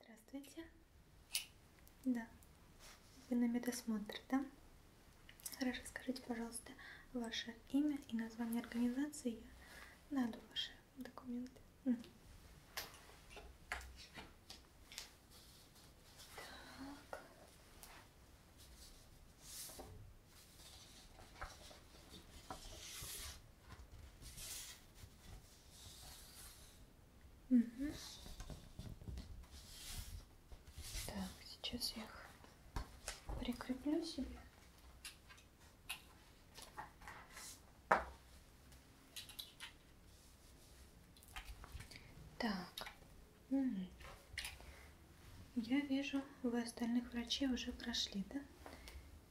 Здравствуйте. Да, вы на медосмотр, да? Хорошо, скажите, пожалуйста, ваше имя и название организации. Я найду ваши документы. Так. Угу. Так, сейчас я их прикреплю себе. Так. Угу. Я вижу, вы остальных врачей уже прошли, да?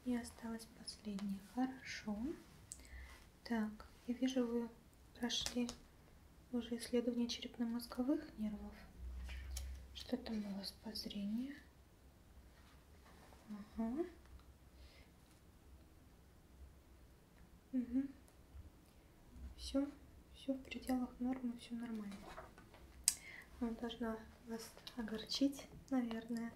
И осталось последнее. Хорошо. Так, я вижу, вы прошли уже исследование черепно-мозговых нервов. Что там у вас по зрению? Ага. Угу. Все, все в пределах нормы, все нормально. Я должна вас огорчить, наверное.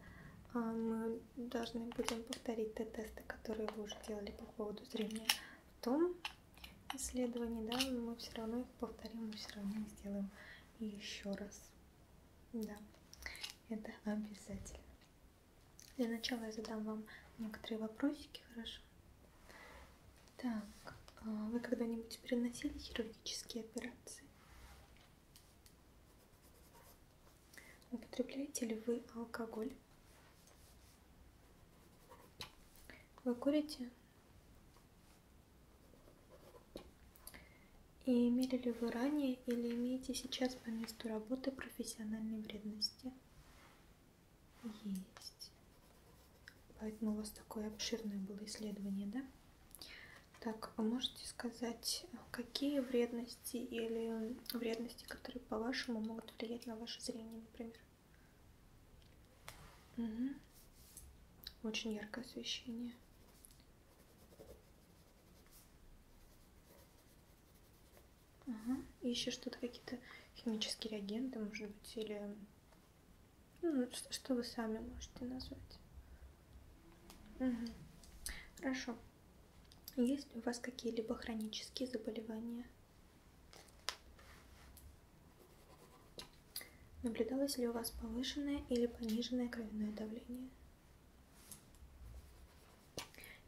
А мы должны будем повторить те тесты, которые вы уже делали по поводу зрения в том исследовании, да, мы все равно их повторим, мы все равно их сделаем еще раз. Да, это обязательно. Для начала я задам вам некоторые вопросики, хорошо? Так, а вы когда-нибудь переносили хирургические операции? Употребляете ли вы алкоголь? Вы курите? И имели ли вы ранее или имеете сейчас по месту работы профессиональной вредности? Есть. Поэтому у вас такое обширное было исследование, да? Так, вы а можете сказать, какие вредности особенности или вредности, которые, по-вашему, могут влиять на ваше зрение, например. Угу. Очень яркое освещение. Ага. И еще что-то, какие-то химические реагенты, может быть, или... Ну, ну что вы сами можете назвать. Угу. Хорошо. Есть у вас какие-либо хронические заболевания? Наблюдалось ли у вас повышенное или пониженное кровяное давление?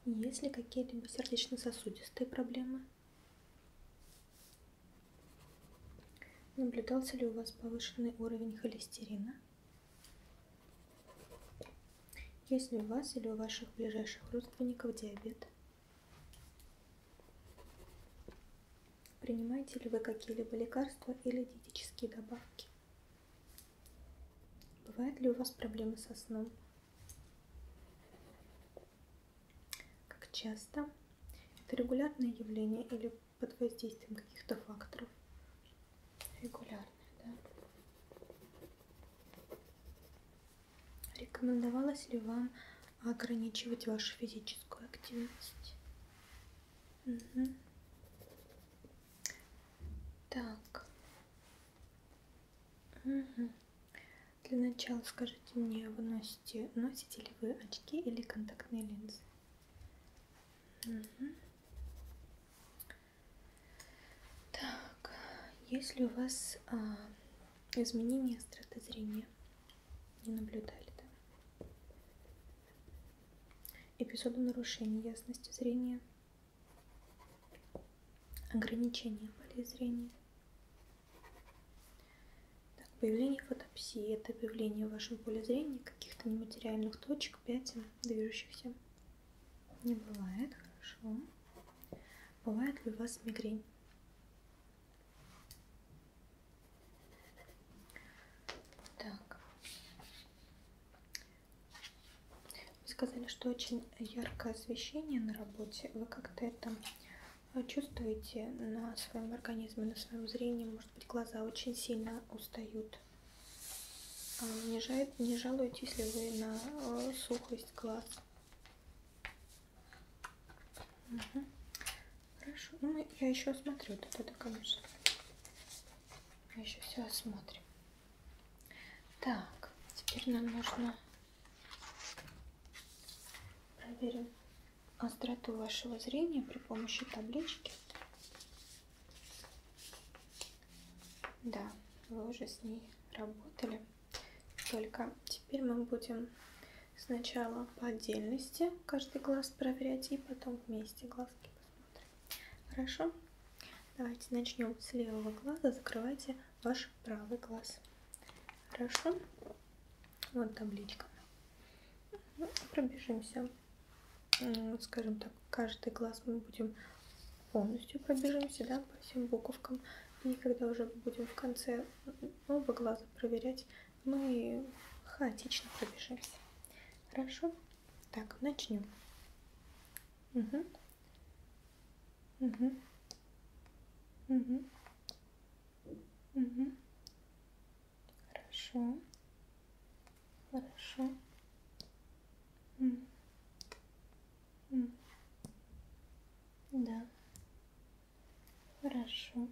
Есть ли какие-либо сердечно-сосудистые проблемы? Наблюдался ли у вас повышенный уровень холестерина? Есть ли у вас или у ваших ближайших родственников диабет? Принимаете ли вы какие-либо лекарства или диетические добавки? Бывают ли у вас проблемы со сном? Как часто? Это регулярное явление или под воздействием каких-то факторов? регулярная, да? Рекомендовалось ли вам ограничивать вашу физическую активность? Угу. Так. Угу. Для начала скажите мне, вы носите, носите ли вы очки или контактные линзы? Угу. Так, если у вас а, изменения остроты зрения не наблюдали, да? Эпизоды нарушения ясности зрения, ограничения полей зрения. Так, появление фотопсии – это появление в вашем поле зрения каких-то нематериальных точек, пятен, движущихся не бывает, хорошо. Бывает ли у вас мигрень? Так. Вы сказали, что очень яркое освещение на работе. Вы как-то это э, чувствуете на своем организме, на своем зрении? Может быть, глаза очень сильно устают? А, не, жа... не жалуетесь ли вы на э, сухость глаз? Угу. Хорошо. Ну, я еще осмотрю вот это, конечно. Мы еще все осмотрим. Так, теперь нам нужно проверим остроту вашего зрения при помощи таблички. Да, вы уже с ней работали. Только теперь мы будем сначала по отдельности каждый глаз проверять и потом вместе глазки посмотрим. Хорошо? Давайте начнем с левого глаза. Закрывайте ваш правый глаз. Хорошо? Вот табличка. Ну, пробежимся. Скажем так, каждый глаз мы будем полностью пробежимся, да, по всем буковкам. И когда уже будем в конце оба глаза проверять, мы хаотично пробежимся. Хорошо? Так, начнем. Угу. Угу. Угу. Угу. Хорошо. Хорошо. Угу. Да. Хорошо.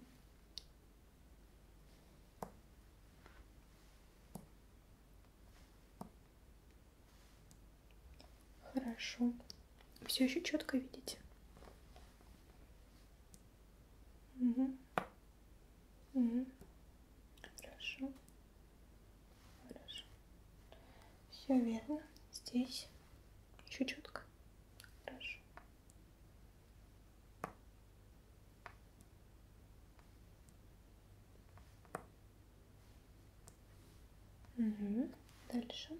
Хорошо. Все еще четко видите? Угу. Угу. Хорошо. Хорошо. Все верно. Здесь. Еще четко. Хорошо. Угу. Дальше.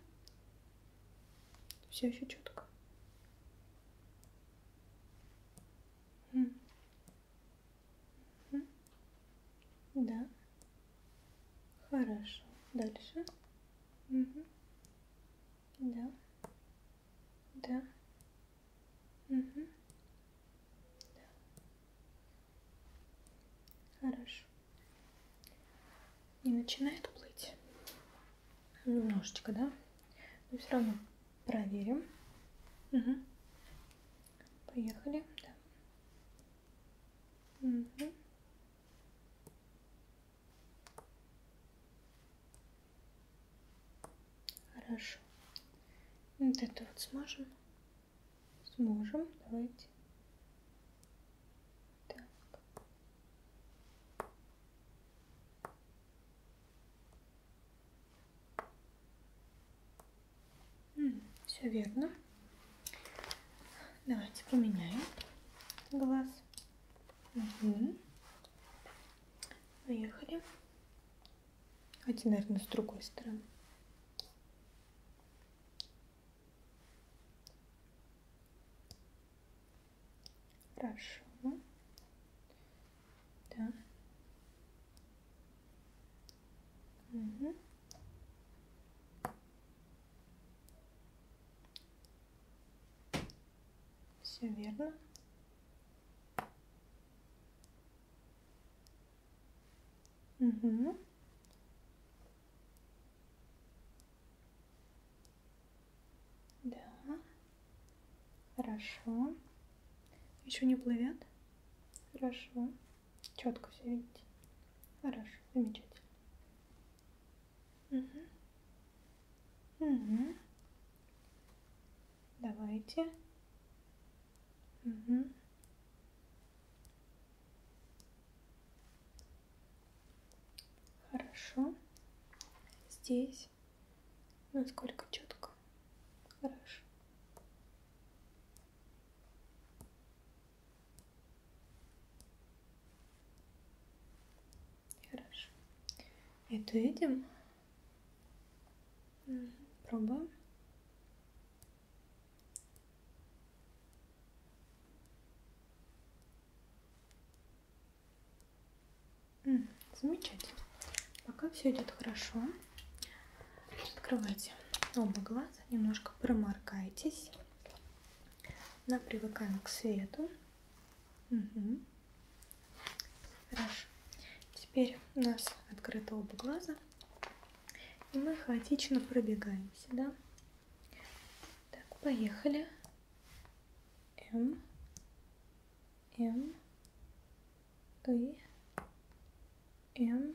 Все еще четко. Да. Хорошо. Дальше. Угу. Да. Да. Угу. Да. Хорошо. И начинает плыть. Немножечко, да? Но ну, все равно проверим. Угу. Поехали. Да. Угу. Хорошо. Вот это вот сможем? Сможем. Давайте. Так. Все верно. Давайте поменяем глаз. Угу. Поехали. Давайте, наверное, с другой стороны. Хорошо. Да. Угу. Все верно. Угу. Да. Хорошо. Еще не плывет? Хорошо. Четко все видите. Хорошо, замечательно. Угу. Угу. Давайте. Угу. Хорошо. Здесь. Насколько четко. Хорошо. Хорошо. Это видим? Пробуем. Замечательно. Пока все идет хорошо. Открывайте оба глаза, немножко проморкайтесь. Да, привыкаем к свету. Угу. Хорошо. Теперь у нас открыто оба глаза. И мы хаотично пробегаемся, да? Так, поехали. М. М. И. М.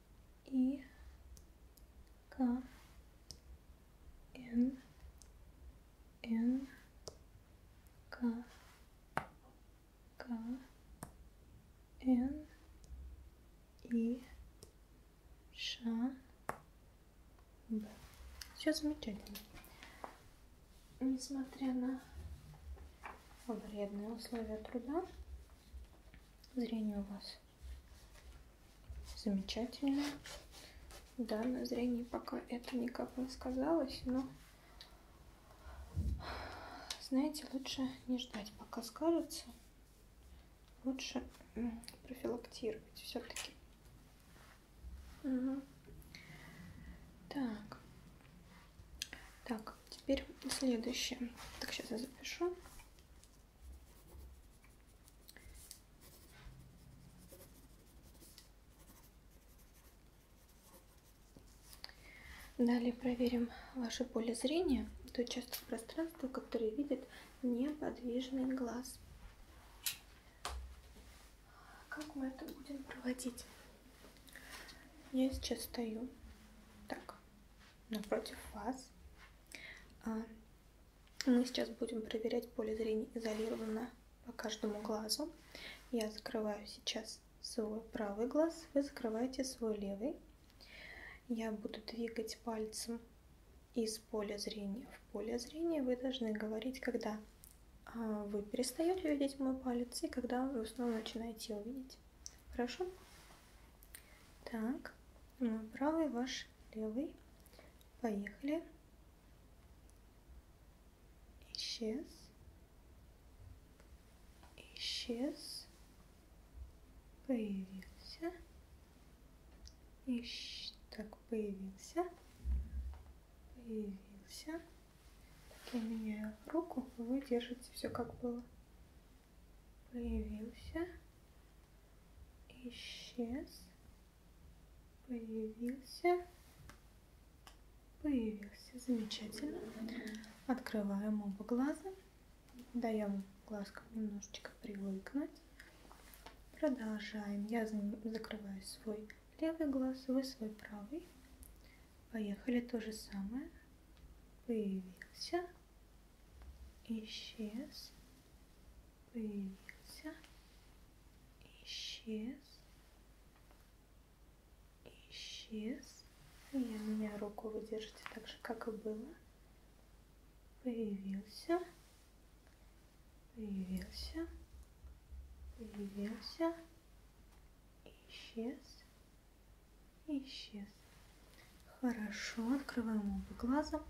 И К Н Н К К Н И Ш Б. Все замечательно. Несмотря на вредные условия труда, Зрение у вас замечательно. Да, на зрении пока это никак не сказалось, но знаете, лучше не ждать, пока скажется. Лучше профилактировать все-таки. Угу. Так. Так, теперь следующее. Так, сейчас я запишу. Далее проверим ваше поле зрения, то участок пространства, который видит неподвижный глаз. Как мы это будем проводить? Я сейчас стою так, напротив вас. А, мы сейчас будем проверять поле зрения изолированно по каждому глазу. Я закрываю сейчас свой правый глаз, вы закрываете свой левый. Я буду двигать пальцем из поля зрения в поле зрения. Вы должны говорить, когда а, вы перестаете видеть мой палец и когда вы снова начинаете его видеть. Хорошо? Так, мой ну, правый, ваш левый. Поехали. Исчез. Исчез. Появился. Ищ... Так, появился. Появился. Так, я меняю руку, вы держите все как было появился, исчез, появился, появился. Замечательно. Открываем оба глаза. Даем глазкам немножечко привыкнуть. Продолжаем. Я закрываю свой левый глаз, вы свой правый. Поехали то же самое. Появился, исчез, появился, исчез, исчез. Ну, я меня руку вы держите так же, как и было. Появился, появился, появился, исчез, и исчез. Хорошо, открываем оба глаза.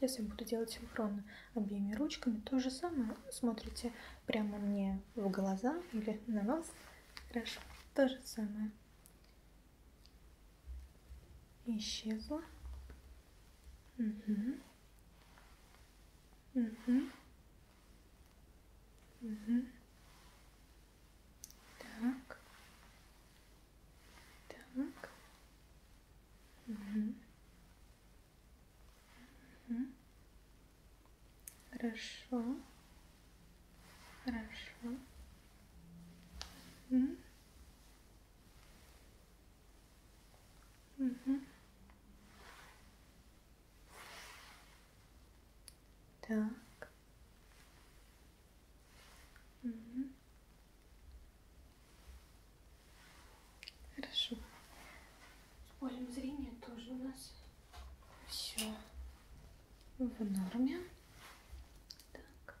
Я с вами буду делать синхронно обеими ручками. То же самое смотрите прямо мне в глаза или на вас. Хорошо, то же самое. Исчезла. Угу. Угу. Угу. Так. Так. Угу. Угу. Хорошо. Хорошо. Угу. Угу. Так. Угу. Хорошо. С полем зрения тоже у нас все в норме. Так.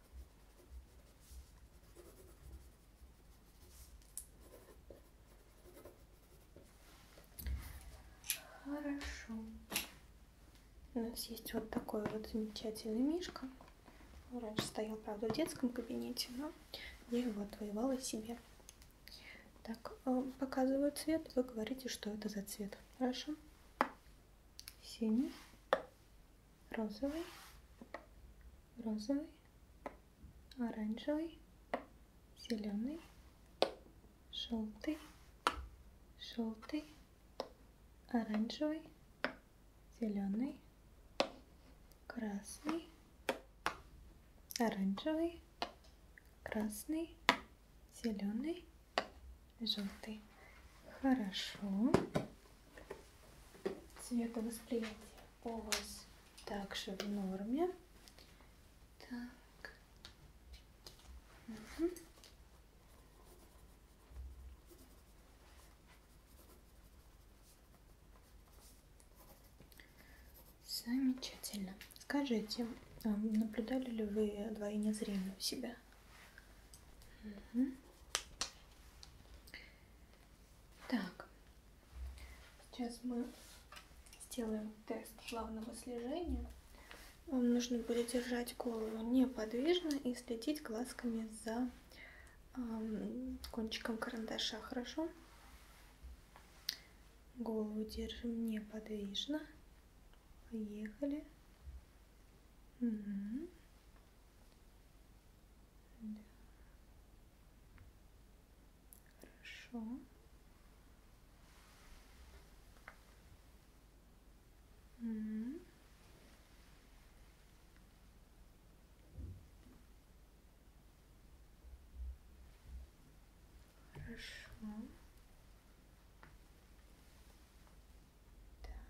Хорошо. У нас есть вот такой вот замечательный мишка. Он раньше стоял, правда, в детском кабинете, но я его отвоевала себе. Так, э, показываю цвет, вы говорите, что это за цвет. Хорошо. Синий, розовый, розовый, оранжевый, зеленый, желтый, желтый, оранжевый, зеленый, красный, оранжевый, красный, зеленый, желтый. Хорошо. Цветовосприятие у вас также в норме. Так. Угу. Замечательно. Скажите, а наблюдали ли вы двойне зрения у себя? Угу. Так, сейчас мы сделаем тест главного слежения вам нужно будет держать голову неподвижно и следить глазками за кончиком карандаша, хорошо? Голову держим неподвижно. Поехали. Угу. Да. Хорошо. Угу. Хорошо.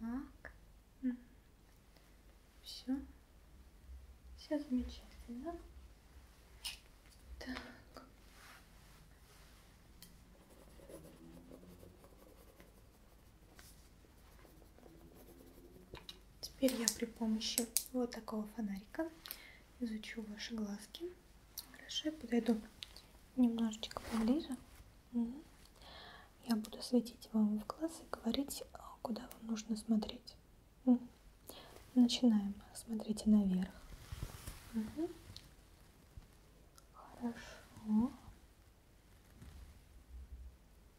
Так. Все. Все замечательно. Так. Теперь я при помощи вот такого фонарика изучу ваши глазки. Хорошо, я подойду немножечко поближе. Угу. Я буду светить вам в глаз и говорить, куда вам нужно смотреть. Угу. Начинаем. Смотрите наверх. Угу. Хорошо.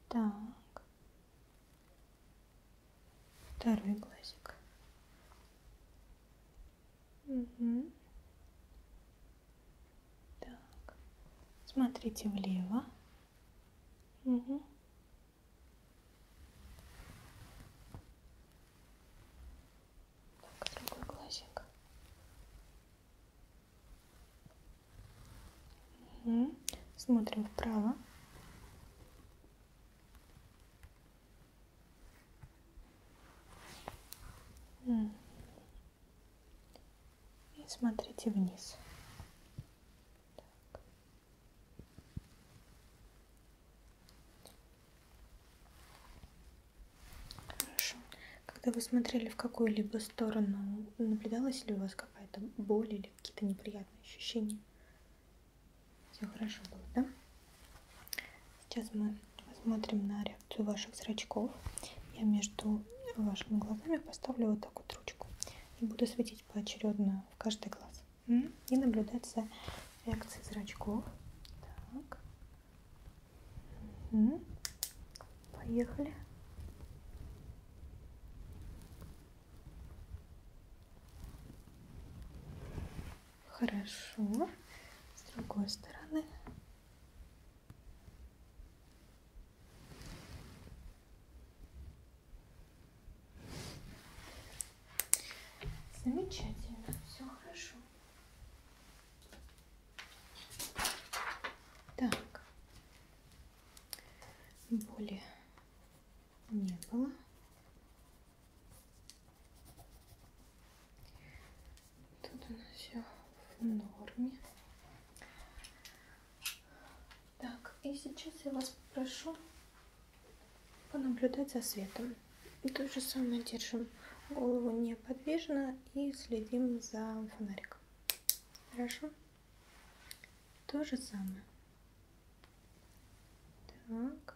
Так. Второй глазик. Угу. Так. Смотрите влево. Угу. Так, другой глазик. Угу. Смотрим вправо. И смотрите вниз. Так. Хорошо. Когда вы смотрели в какую-либо сторону, наблюдалась ли у вас какая-то боль или какие-то неприятные ощущения? Все хорошо было, да? Сейчас мы посмотрим на реакцию ваших зрачков. Я между вашими глазами поставлю вот так вот ручку и буду светить поочередно в каждый глаз. И наблюдать за реакцией зрачков. Так. Угу. Поехали. Хорошо. С другой стороны. Замечательно, все хорошо. Так. Боли не было. Тут у нас все в норме. Так, и сейчас я вас попрошу понаблюдать за светом. И то же самое держим голову неподвижно и следим за фонариком так. Хорошо. То же самое. Так.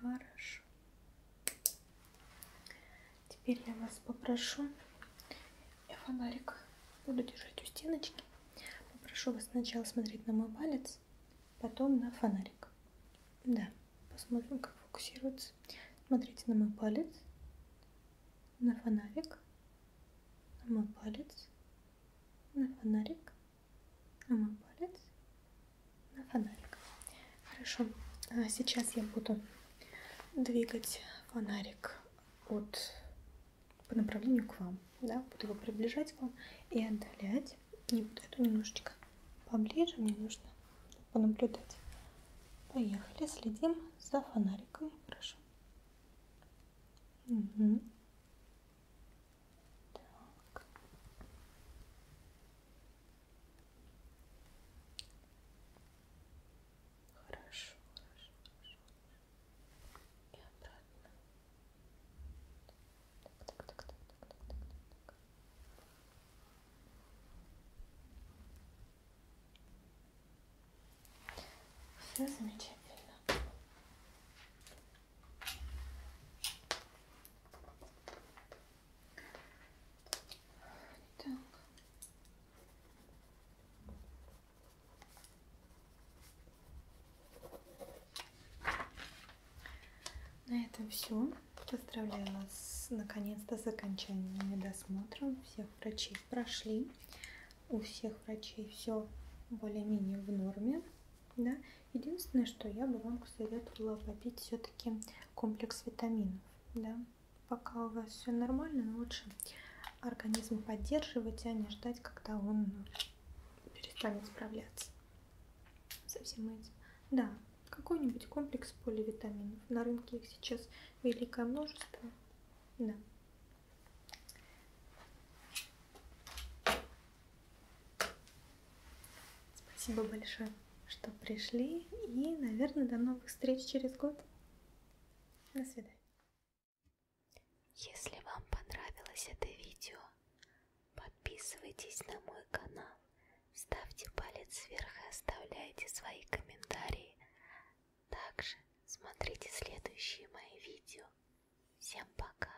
Хорошо. Теперь я вас попрошу, я фонарик буду держать у стеночки, попрошу вас сначала смотреть на мой палец, потом на фонарик. Да, посмотрим, как фокусируется. Смотрите на мой палец, на фонарик, на мой палец, на фонарик, на мой палец на фонарик. Хорошо, а сейчас я буду двигать фонарик от по направлению к вам, да, буду его приближать к вам и отдалять. Не буду эту немножечко поближе, мне нужно понаблюдать. Поехали, следим за фонариком, прошу. Угу. Так. Хорошо, хорошо, хорошо. И обратно. Так, так, так, так, так, так, так, так. Все замечательно. Так. На этом все. Поздравляю вас наконец-то с окончанием досмотром. Всех врачей прошли. У всех врачей все более-менее в норме. Да? Единственное, что я бы вам посоветовала попить все-таки комплекс витаминов да? Пока у вас все нормально, лучше организм поддерживать, а не ждать, когда он перестанет справляться со всем этим. Да, какой-нибудь комплекс поливитаминов. На рынке их сейчас великое множество. Да. Спасибо большое что пришли. И, наверное, до новых встреч через год. До свидания. Если вам понравилось это видео, подписывайтесь на мой канал, ставьте палец вверх и оставляйте свои комментарии. Также смотрите следующие мои видео. Всем пока!